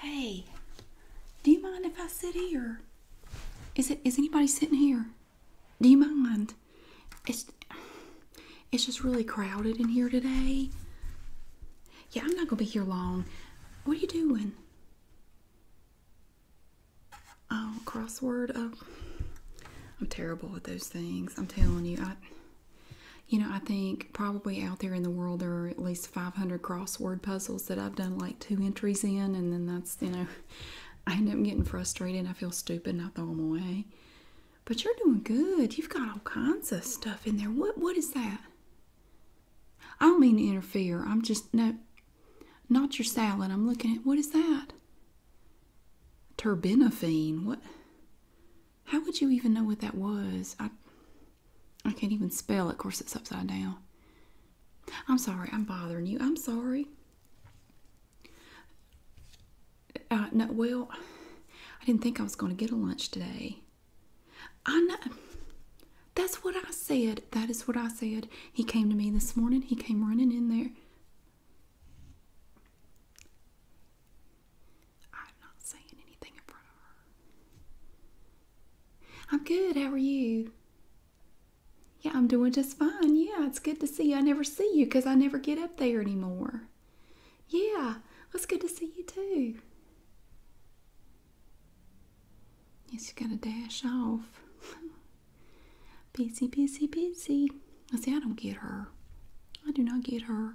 Hey, do you mind if I sit here? Is it is anybody sitting here? Do you mind? It's it's just really crowded in here today. Yeah, I'm not gonna be here long. What are you doing? Oh, crossword. Oh, I'm terrible with those things. I'm telling you, I you know, I think probably out there in the world there are at least 500 crossword puzzles that I've done like two entries in, and then that's, you know, I end up getting frustrated. I feel stupid and I throw them away. But you're doing good. You've got all kinds of stuff in there. What What is that? I don't mean to interfere. I'm just, no, not your salad. I'm looking at, what is that? Terbinafine. What? How would you even know what that was? I I can't even spell it. Of course, it's upside down. I'm sorry. I'm bothering you. I'm sorry. Uh, no, well, I didn't think I was going to get a lunch today. I know. That's what I said. That is what I said. He came to me this morning. He came running in there. I'm not saying anything in front of her. I'm good. How are you? Yeah, I'm doing just fine. Yeah, it's good to see you. I never see you because I never get up there anymore. Yeah, it's good to see you too. Yes, you gotta dash off. busy, busy, busy. I see, I don't get her. I do not get her.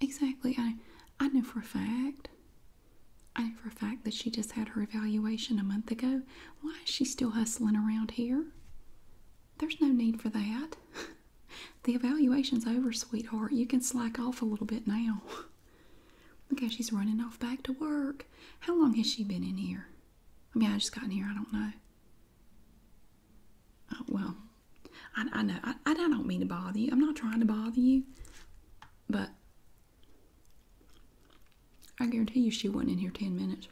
Exactly. I I knew for a fact. I knew for a fact that she just had her evaluation a month ago. Why is she still hustling around here? There's no need for that. the evaluation's over, sweetheart. You can slack off a little bit now. Look how she's running off back to work. How long has she been in here? I mean, I just got in here. I don't know. Oh, well, I, know, I, don't mean to bother you. I'm not trying to bother you, but I guarantee you she wasn't in here 10 minutes.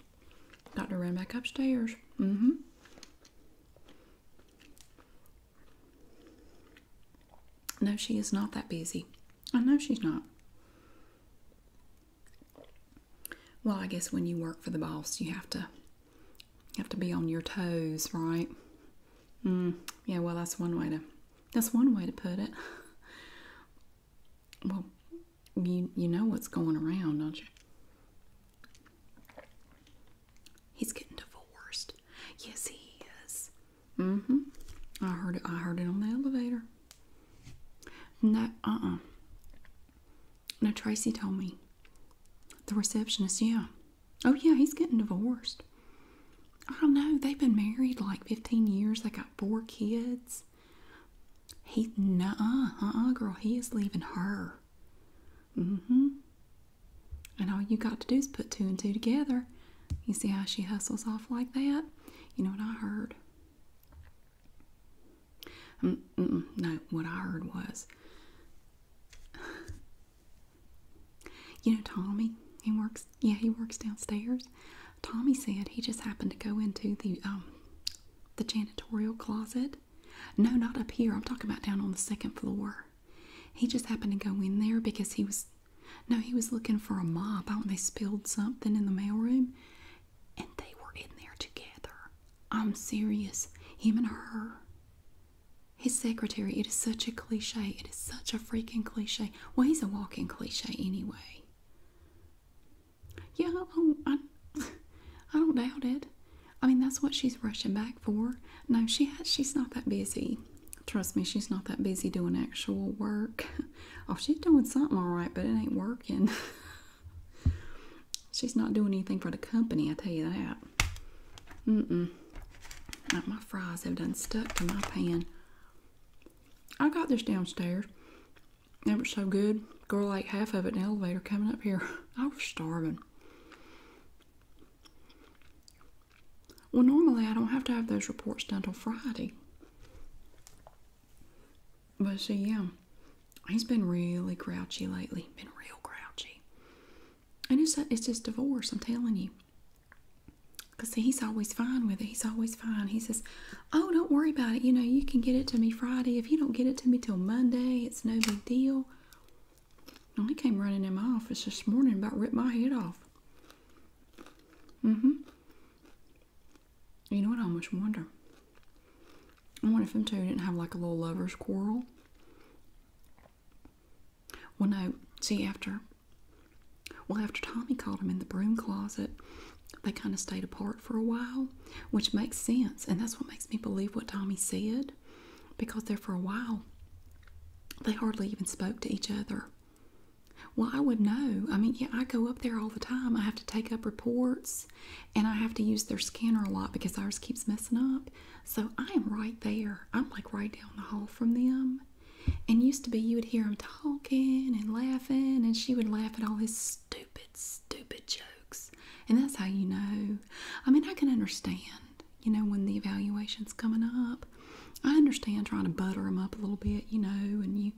to run back upstairs. Mm hmm. No, she is not that busy. I know she's not. Well, I guess when you work for the boss, you have to you have to be on your toes, right? Mm, yeah, well, that's one way to that's one way to put it. Well, you you know what's going around, don't you? He's getting divorced. Yes, he is. Mm-hmm. I heard it. I heard it on the elevator. No, uh-uh. No, Tracy told me. The receptionist, yeah. Oh, yeah, he's getting divorced. I don't know. They've been married like 15 years. They got four kids. He, no, uh, uh, uh-uh, girl, he is leaving her. Mm hmm. And all you got to do is put two and two together. You see how she hustles off like that? You know what I heard? no, what I heard was you know Tommy, he works, yeah, he works downstairs. Tommy said he just happened to go into the, um, the janitorial closet. No, not up here. I'm talking about down on the second floor. He just happened to go in there because he was, no, he was looking for a mop. I do they spilled something in the mailroom and they were in there together. I'm serious. Him and her. His secretary, it is such a cliche. It is such a freaking cliche. Well, he's a walking cliche anyway. Yeah, I don't, I don't doubt it. I mean, that's what she's rushing back for. No, she has, she's not that busy. Trust me, she's not that busy doing actual work. Oh, she's doing something all right, but it ain't working. She's not doing anything for the company, I tell you that. Mm-mm. My fries have done stuck to my pan. I got this downstairs. They were so good. Girl ate half of it in elevator coming up here. I was starving. Well, normally I don't have to have those reports done till Friday. But see, yeah, he's been really grouchy lately. Been real grouchy. And it's, a, it's just divorce, I'm telling you. Because he's always fine with it. He's always fine. He says, Oh, don't worry about it. You know, you can get it to me Friday. If you don't get it to me till Monday, it's no big deal. And he came running in my office this morning about ripped my head off. Mm hmm. You know what? I much wonder. I wonder if them two didn't have like a little lover's quarrel well, no, see, after, well, after Tommy caught him in the broom closet, they kind of stayed apart for a while, which makes sense. And that's what makes me believe what Tommy said, because there for a while, they hardly even spoke to each other. Well, I would know. I mean, yeah, I go up there all the time. I have to take up reports and I have to use their scanner a lot because ours keeps messing up. So I am right there. I'm like right down the hall from them. And used to be you would hear them talking and laughing, and she would laugh at all his stupid, stupid jokes. And that's how you know. I mean, I can understand, you know, when the evaluation's coming up. I understand trying to butter them up a little bit, you know, and you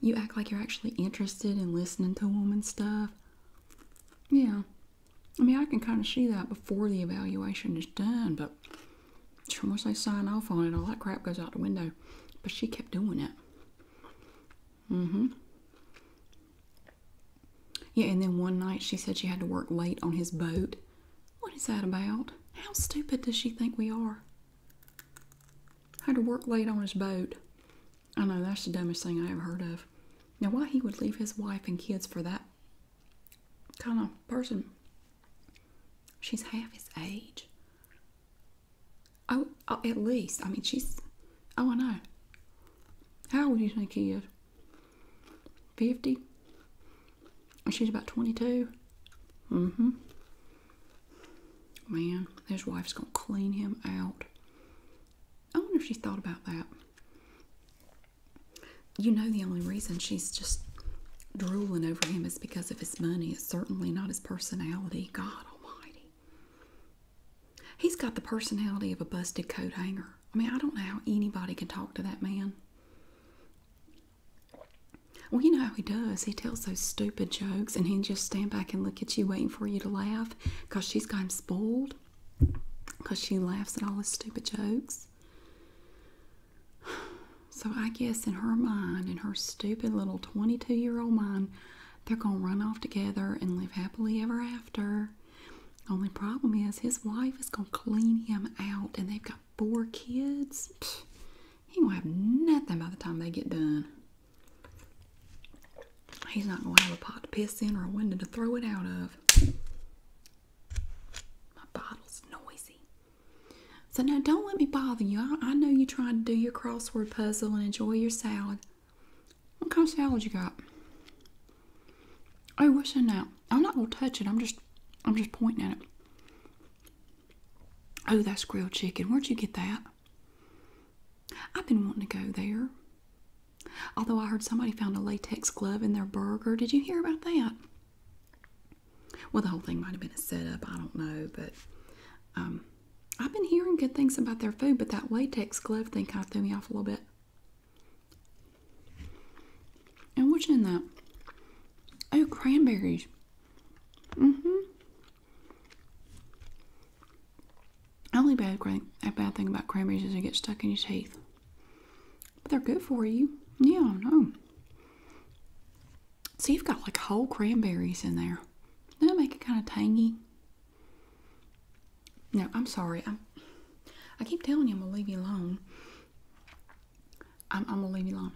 you act like you're actually interested in listening to them and stuff. Yeah, I mean, I can kind of see that before the evaluation is done, but once they sign off on it, all that crap goes out the window. But she kept doing it. Mm hmm. Yeah, and then one night she said she had to work late on his boat. What is that about? How stupid does she think we are? Had to work late on his boat. I know that's the dumbest thing I ever heard of. Now, why he would leave his wife and kids for that kind of person? She's half his age. Oh, oh at least. I mean, she's. Oh, I know. How old do you think he is? 50? She's about 22. Mm hmm. Man, his wife's gonna clean him out. I wonder if she thought about that. You know, the only reason she's just drooling over him is because of his money. It's certainly not his personality. God Almighty. He's got the personality of a busted coat hanger. I mean, I don't know how anybody can talk to that man. Well, you know how he does. He tells those stupid jokes and he just stand back and look at you waiting for you to laugh because she's got him spoiled because she laughs at all his stupid jokes. So I guess in her mind, in her stupid little 22 year old mind, they're going to run off together and live happily ever after. Only problem is his wife is going to clean him out and they've got four kids. he won't have nothing by the time they get done. He's not going to have a pot to piss in or a window to throw it out of. My bottle's noisy. So now don't let me bother you. I, know you're trying to do your crossword puzzle and enjoy your salad. What kind of salad you got? Oh, what's in that? I'm not gonna touch it. I'm just, I'm just pointing at it. Oh, that's grilled chicken. Where'd you get that? I've been wanting to go there. Although I heard somebody found a latex glove in their burger. Did you hear about that? Well, the whole thing might have been a setup. I don't know, but um, I've been hearing good things about their food, but that latex glove thing kind of threw me off a little bit. And what's in that? Oh, cranberries. Mm hmm. Only bad, a bad thing about cranberries is they get stuck in your teeth. But they're good for you. Yeah, no. See, you've got like whole cranberries in there. does that make it kind of tangy? No, I'm sorry. I'm, I keep telling you I'm going to leave you alone. I'm, I'm going to leave you alone.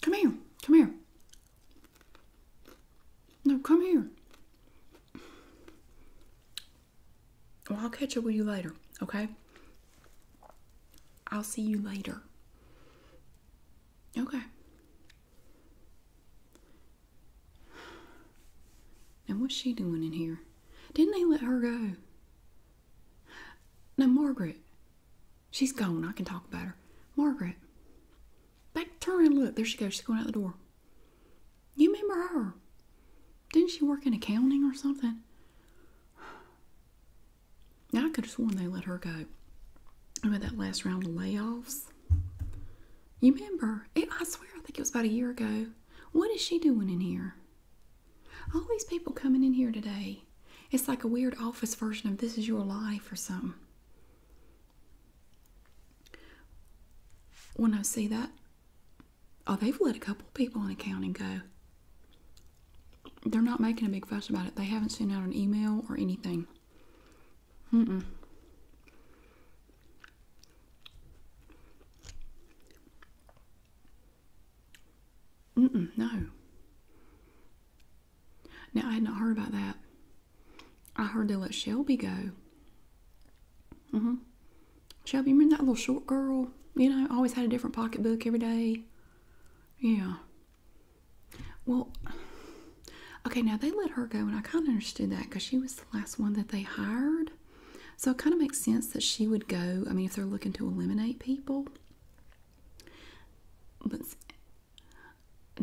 Come here. Come here. No, come here. Well, I'll catch up with you later, okay? I'll see you later. Okay. And what's she doing in here? Didn't they let her go? No, Margaret. She's gone. I can talk about her. Margaret. Back, turn and look. There she goes. She's going out the door. You remember her? Didn't she work in accounting or something? I could have sworn they let her go. Remember that last round of layoffs? You remember? I swear, I think it was about a year ago. What is she doing in here? All these people coming in here today. It's like a weird office version of This Is Your Life or something. When I see that, oh, they've let a couple people in accounting go. They're not making a big fuss about it. They haven't sent out an email or anything. mm no. Now, I had not heard about that. I heard they let Shelby go. Mm-hmm. Shelby, remember that little short girl? You know, always had a different pocketbook every day. Yeah. Well, okay, now they let her go, and I kind of understood that because she was the last one that they hired. So it kind of makes sense that she would go. I mean, if they're looking to eliminate people, but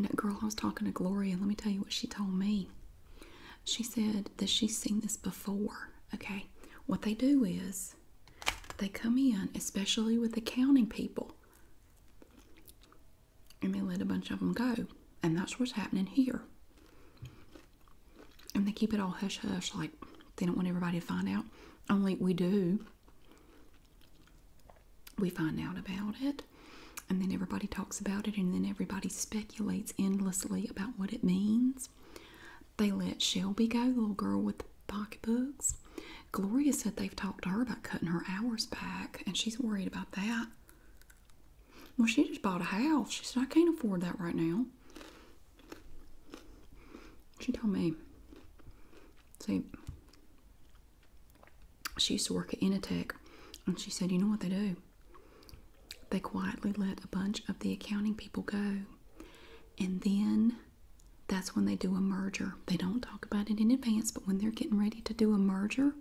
that girl, I was talking to Gloria, let me tell you what she told me. She said that she's seen this before. Okay, what they do is they come in, especially with accounting people, and they let a bunch of them go, and that's what's happening here. And they keep it all hush hush, like they don't want everybody to find out. Only we do we find out about it, and then everybody talks about it, and then everybody speculates endlessly about what it means. They let Shelby go, the little girl with the pocketbooks. Gloria said they've talked to her about cutting her hours back, and she's worried about that. Well, she just bought a house. She said, I can't afford that right now. She told me. See, she used to work at Initech, and she said, you know what they do? They quietly let a bunch of the accounting people go, and then that's when they do a merger. They don't talk about it in advance, but when they're getting ready to do a merger,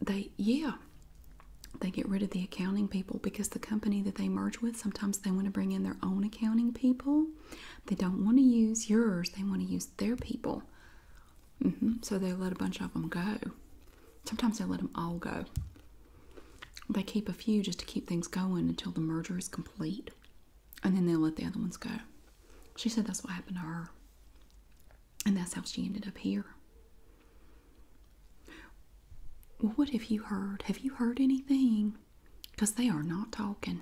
they, yeah, they get rid of the accounting people because the company that they merge with, sometimes they want to bring in their own Counting people. They don't want to use yours, they want to use their people. Mm-hmm. So they let a bunch of them go. Sometimes they let them all go. They keep a few just to keep things going until the merger is complete, and then they'll let the other ones go. She said that's what happened to her, and that's how she ended up here. Well, what have you heard? Have you heard anything? because they are not talking.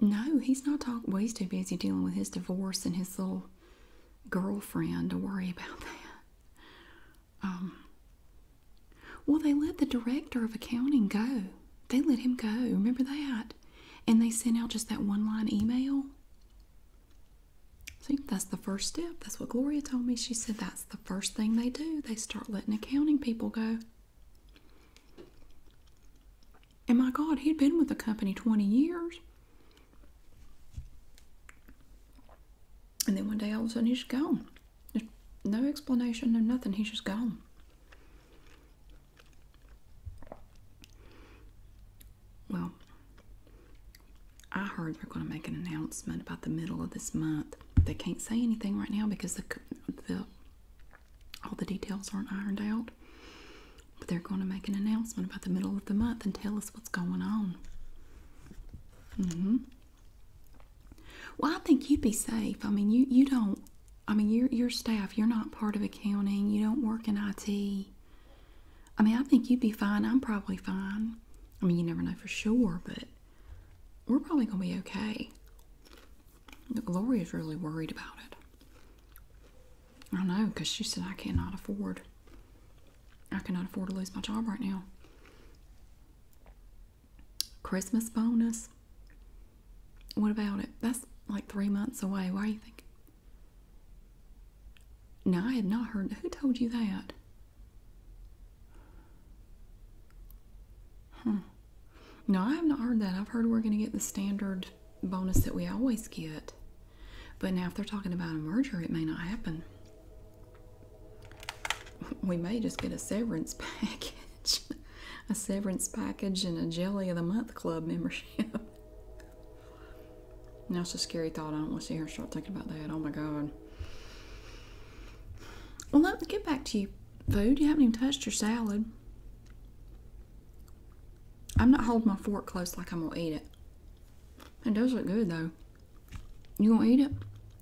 No, he's not talking. Well, he's too busy dealing with his divorce and his little girlfriend to worry about that. Um, well, they let the director of accounting go. They let him go. Remember that? And they sent out just that one line email. See, that's the first step. That's what Gloria told me. She said that the first thing they do. They start letting accounting people go. And my God, he'd been with the company 20 years. And then one day all of a sudden he's gone. no explanation, no nothing. He's just gone. Well, I heard they're going to make an announcement about the middle of this month. They can't say anything right now because all the details aren't ironed out. But they're going to make an announcement about the middle of the month and tell us what's going on. hmm Well, I think you'd be safe. I mean, you you don't. I mean, your your staff. You're not part of accounting. You don't work in IT. I mean, I think you'd be fine. I'm probably fine. I mean, you never know for sure, but we're probably going to be okay. Gloria's really worried about it. I know, because she said, I cannot afford. I cannot afford to lose my job right now. Christmas bonus. What about it? That's like three months away. Why are you thinking? No, I had not heard. Who told you that? Hmm. No, I have not heard that. I've heard we're going to get the standard bonus that we always get. But now, if they're talking about a merger, it may not happen. We may just get a severance package. a severance package and a Jelly of the Month Club membership. now, it's a scary thought. I don't want to see her start thinking about that. Oh my God. Well, let me get back to you, food. You haven't even touched your salad. I'm not holding my fork close like I'm gonna eat it. It does look good though. You gonna eat it?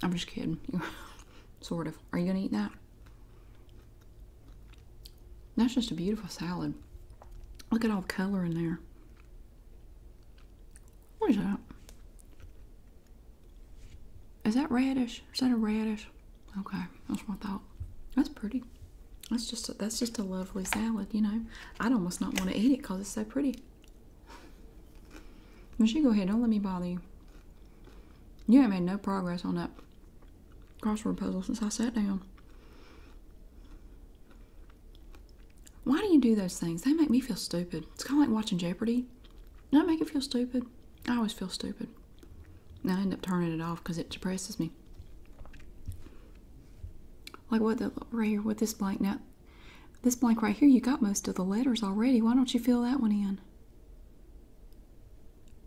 I'm just kidding. sort of. Are you gonna eat that? That's just a beautiful salad. Look at all the color in there. What is that? Is that radish? Is that a radish? Okay, that's what I thought. That's pretty. That's just a, that's just a lovely salad, you know. I'd almost not want to eat it because it's so pretty. But go ahead. Don't let me bother you. You ain't made no progress on that crossword puzzle since I sat down. Why do you do those things? They make me feel stupid. It's kind of like watching Jeopardy. do not make you feel stupid? I always feel stupid. And I end up turning it off because it depresses me. Like what the right here with this blank now. This blank right here, you got most of the letters already. Why don't you fill that one in?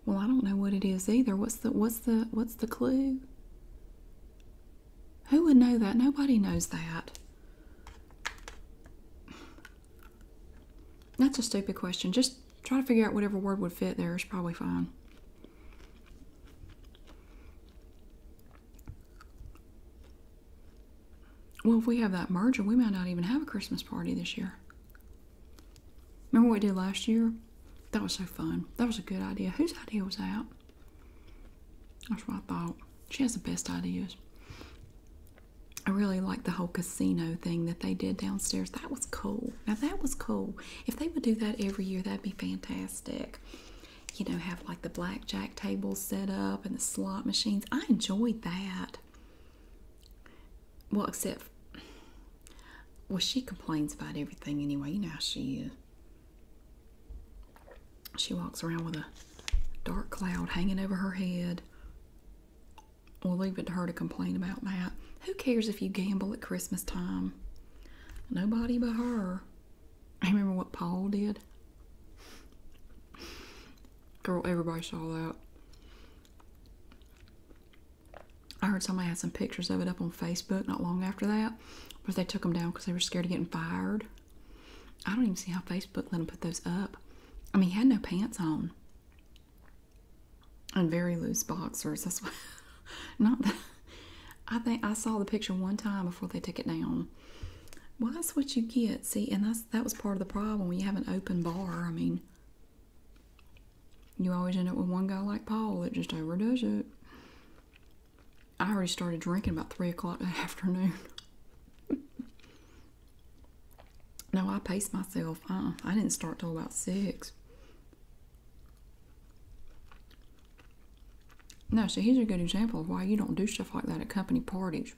Well, I don't know what it is either. What's the what's the what's the clue? Who would know that? Nobody knows that. That's a stupid question. Just try to figure out whatever word would fit there. It's probably fine. Well, if we have that merger, we might not even have a Christmas party this year. Remember what we did last year? That was so fun. That was a good idea. Whose idea was that? That's what I thought. She has the best ideas. I really like the whole casino thing that they did downstairs. That was cool. Now that was cool. If they would do that every year, that'd be fantastic. You know, have like the blackjack tables set up and the slot machines. I enjoyed that. Well, except, well, she complains about everything anyway. You know how she is. She walks around with a dark cloud hanging over her head. We'll leave it to her to complain about that. Who cares if you gamble at Christmas time? Nobody but her. I remember what Paul did. Girl, everybody saw that. I heard somebody had some pictures of it up on Facebook not long after that, but they took them down because they were scared of getting fired. I don't even see how Facebook let him put those up. I mean, he had no pants on and very loose boxers. That's what, not I think I saw the picture one time before they took it down. Well, that's what you get. See, and that's that was part of the problem you have an open bar. I mean, you always end up with one guy like Paul that just overdoes it. I already started drinking about three o'clock in the afternoon. No, I paced myself. Uh-uh. I didn't start till about six. No, so here's a good example of why you don't do stuff like that at company parties.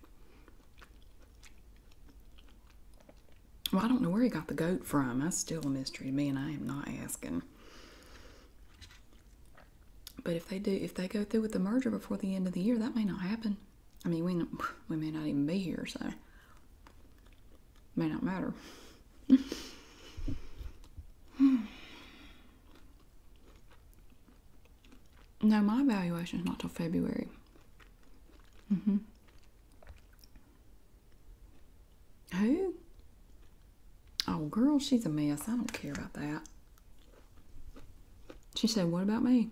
Well, I don't know where he got the goat from. That's still a mystery to me, and I am not asking. But if they do, if they go through with the merger before the end of the year, that may not happen. I mean, we we may not even be here, so may not matter. no, my valuation is not till February. Mm-hmm. Who? Oh, girl, she's a mess. I don't care about that. She said, What about me?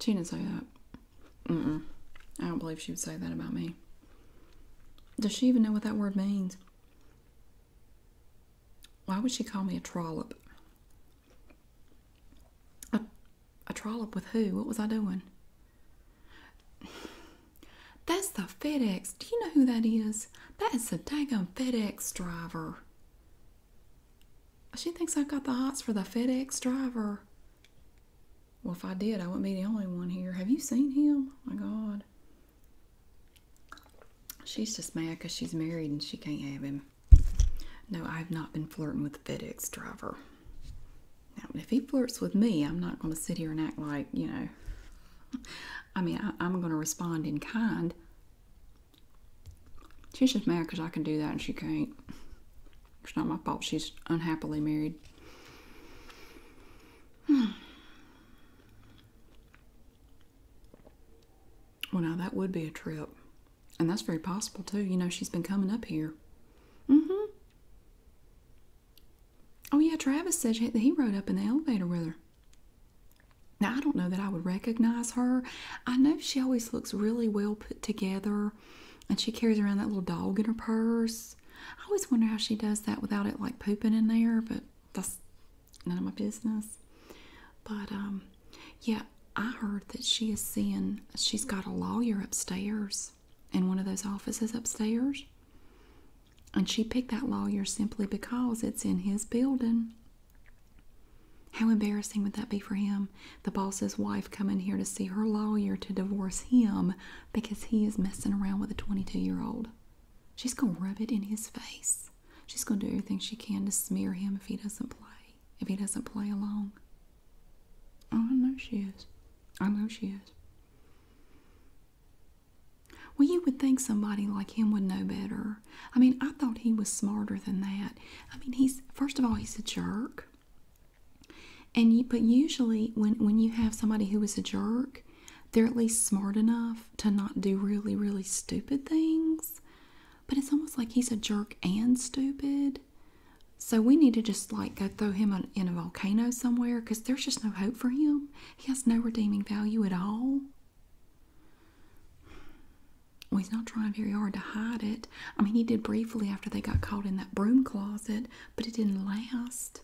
She didn't say that. mm I don't believe she would say that about me. Does she even know what that word means? Why would she call me a trollop? a trollop with who? What was I doing? That's the FedEx. Do you know who that is? That is the daggum FedEx driver. She thinks I've got the hots for the FedEx driver. Well, if I did, I wouldn't be the only one here. Have you seen him? Oh my God. She's just mad because she's married and she can't have him. No, I have not been flirting with the FedEx driver. Now, if he flirts with me, I'm not going to sit here and act like, you know, I mean, I, am going to respond in kind. She's just mad because I can do that and she can't. It's not my fault she's unhappily married. Well, now that would be a trip. And that's very possible, too. You know, she's been coming up here. Mm hmm. Oh, yeah, Travis said he rode up in the elevator with her. Now, I don't know that I would recognize her. I know she always looks really well put together and she carries around that little dog in her purse. I always wonder how she does that without it like pooping in there, but that's none of my business. But um, yeah, I heard that she is seeing, she's got a lawyer upstairs in one of those offices upstairs. And she picked that lawyer simply because it's in his building. How embarrassing would that be for him? The boss's wife coming here to see her lawyer to divorce him because he is messing around with a 22 year old. She's going to rub it in his face. She's going to do everything she can to smear him if he doesn't play, if he doesn't play along. Oh, I know she is. I know she is. Well, you would think somebody like him would know better. I mean, I thought he was smarter than that. I mean, he's first of all, he's a jerk. And you, but usually when when you have somebody who is a jerk, they're at least smart enough to not do really really stupid things. But it's almost like he's a jerk and stupid. So we need to just like go throw him in a volcano somewhere because there's just no hope for him. He has no redeeming value at all. Well, he's not trying very hard to hide it. I mean, he did briefly after they got caught in that broom closet, but it didn't last.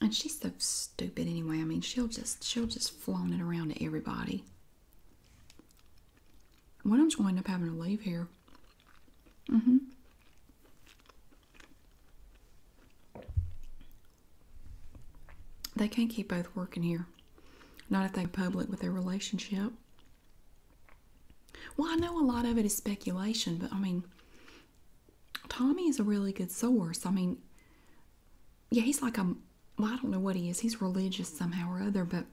And she's so stupid anyway. I mean, she'll just she'll just flaunt it around to everybody. One of them's going to end up having to leave here. Mm-hmm. They can't keep both working here. Not if they're public with their relationship. Well, I know a lot of it is speculation, but I mean, Tommy is a really good source. I mean, yeah, he's like a, well, I don't know what he is. He's religious somehow or other, but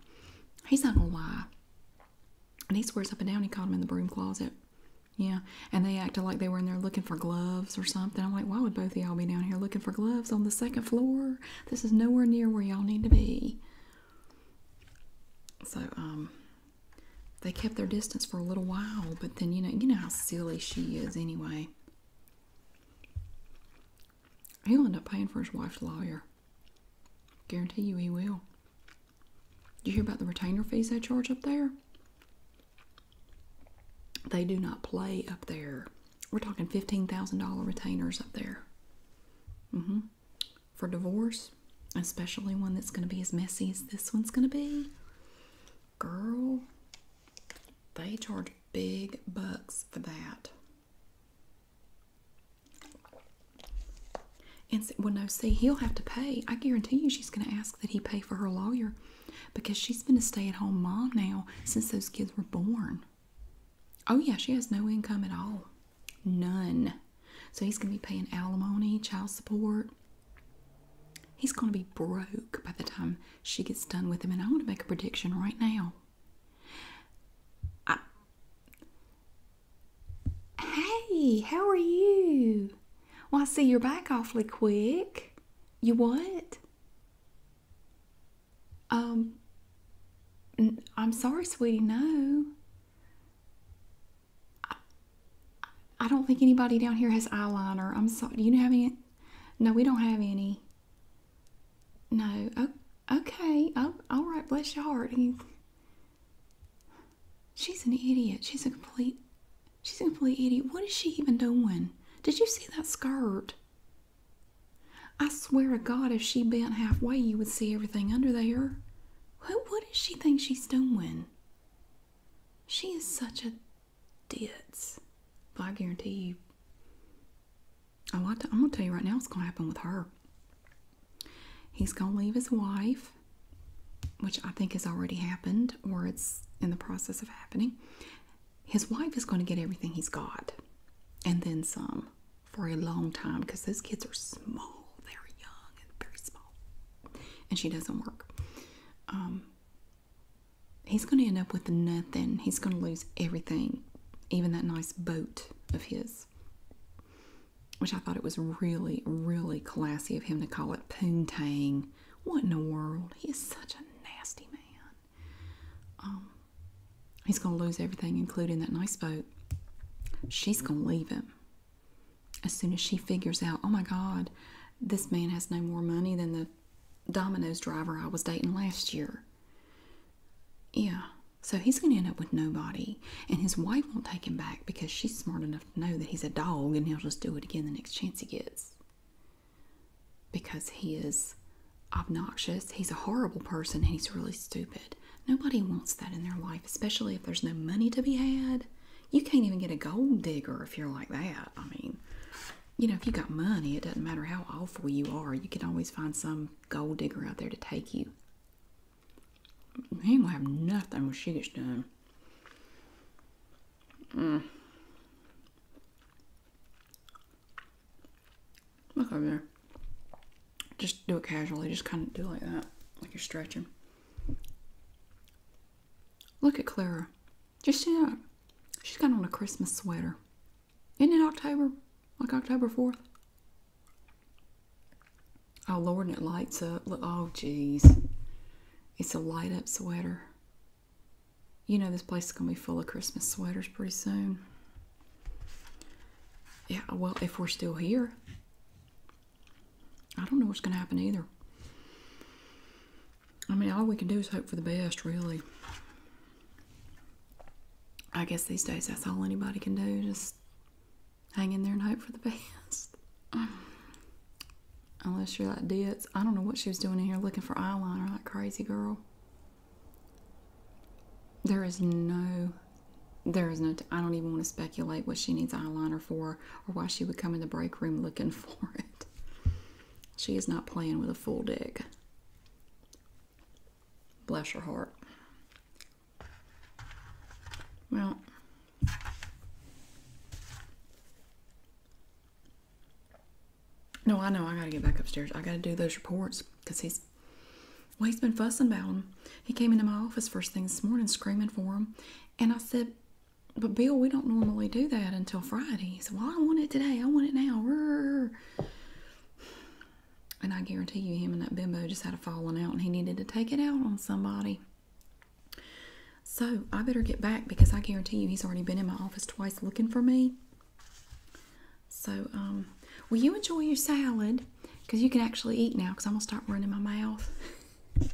he's not gonna lie. And he swears up and down he caught him in the broom closet. Yeah, and they acted like they were in there looking for gloves or something. I'm like, why would both of y'all be down here looking for gloves on the second floor? This is nowhere near where y'all need to be. So, um, they kept their distance for a little while, but then you know, you know how silly she is anyway. He'll end up paying for his wife's lawyer. Guarantee you he will. Did you hear about the retainer fees they charge up there? They do not play up there. We're talking $15,000 retainers up there. Mm-hmm. For divorce, especially one that's going to be as messy as this one's going to be, girl, they charge big bucks for that. And well, no, see, he'll have to pay. I guarantee you she's going to ask that he pay for her lawyer because she's been a stay at home mom now since those kids were born. Oh, yeah, she has no income at all. None. So he's going to be paying alimony, child support. He's going to be broke by the time she gets done with him. And I am going to make a prediction right now. I... Hey, how are you? Why, see you're back awfully quick. You what? Um, I'm sorry, sweetie, no. I, don't think anybody down here has eyeliner. I'm sorry. Do you have it? No, we don't have any. No. Oh, okay. all right. Bless your heart. She's an idiot. She's a complete She's a idiot. What is she even doing? Did you see that skirt? I swear to God, if she bent halfway, you would see everything under there. What, does she think she's doing? She is such a ditz. But I guarantee you. Oh, I, I'm going to tell you right now what's going to happen with her. He's going to leave his wife, which I think has already happened, or it's in the process of happening his wife is going to get everything he's got and then some for a long time because those kids are small, they're young and very small, and she doesn't work. Um, he's going to end up with nothing, he's going to lose everything, even that nice boat of his. Which I thought it was really, really classy of him to call it poontang what in the world? He is such a nasty man. Um, he's going to lose everything, including that nice boat. She's going to leave him as soon as she figures out, oh my God, this man has no more money than the Domino's driver I was dating last year. Yeah. So he's going to end up with nobody, and his wife won't take him back because she's smart enough to know that he's a dog and he'll just do it again the next chance he gets because he is obnoxious, he's a horrible person, he's really stupid. Nobody wants that in their life, especially if there's no money to be had. You can't even get a gold digger if you're like that. I mean, you know, if you got money, it doesn't matter how awful you are, you can always find some gold digger out there to take you. He ain't gonna have nothing when she gets done. Mm. Look over there. Just do it casually. Just kind of do it like that, like you're stretching. Look at Clara. Just see She's got on a Christmas sweater. Isn't it October? Like October 4th? Oh, Lord, and it lights up. Look, oh, jeez. It's a light up sweater. You know, this place is going to be full of Christmas sweaters pretty soon. Yeah, well, if we're still here, I don't know what's going to happen either. I mean, all we can do is hope for the best, really. I guess these days that's all anybody can do, just hang in there and hope for the best. Unless you're like Ditz. I don't know what she was doing in here looking for eyeliner like crazy girl. There is no, there is no, I don't even want to speculate what she needs eyeliner for or why she would come in the break room looking for it. She is not playing with a full dick. Bless her heart. Well, no, I know. I gotta get back upstairs. I gotta do those reports because he's well, he's been fussing about him. He came into my office first thing this morning screaming for him, and I said, "But Bill, we don't normally do that until Friday." He said, "Well, I want it today. I want it now." And I guarantee you, him and that bimbo just had a falling out, and he needed to take it out on somebody. So I better get back because I guarantee you he's already been in my office twice looking for me. So, um, will you enjoy your salad? Because you can actually eat now because I'm going to start running my mouth.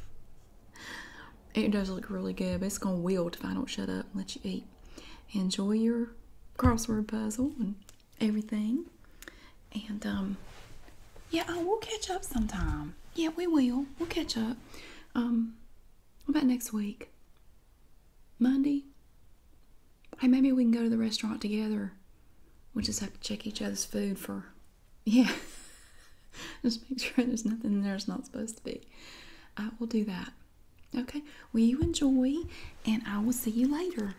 it does look really good, but it's going to wilt if I don't shut up and let you eat. Enjoy your crossword puzzle and everything. And, um, yeah, we'll catch up sometime. Yeah, we will. We'll catch up. Um, what about next week? Monday? Hey, maybe we can go to the restaurant together. we just have to check each other's food for. Yeah. just make sure there's nothing there there's not supposed to be. I will do that. Okay? Will you enjoy? And I will see you later.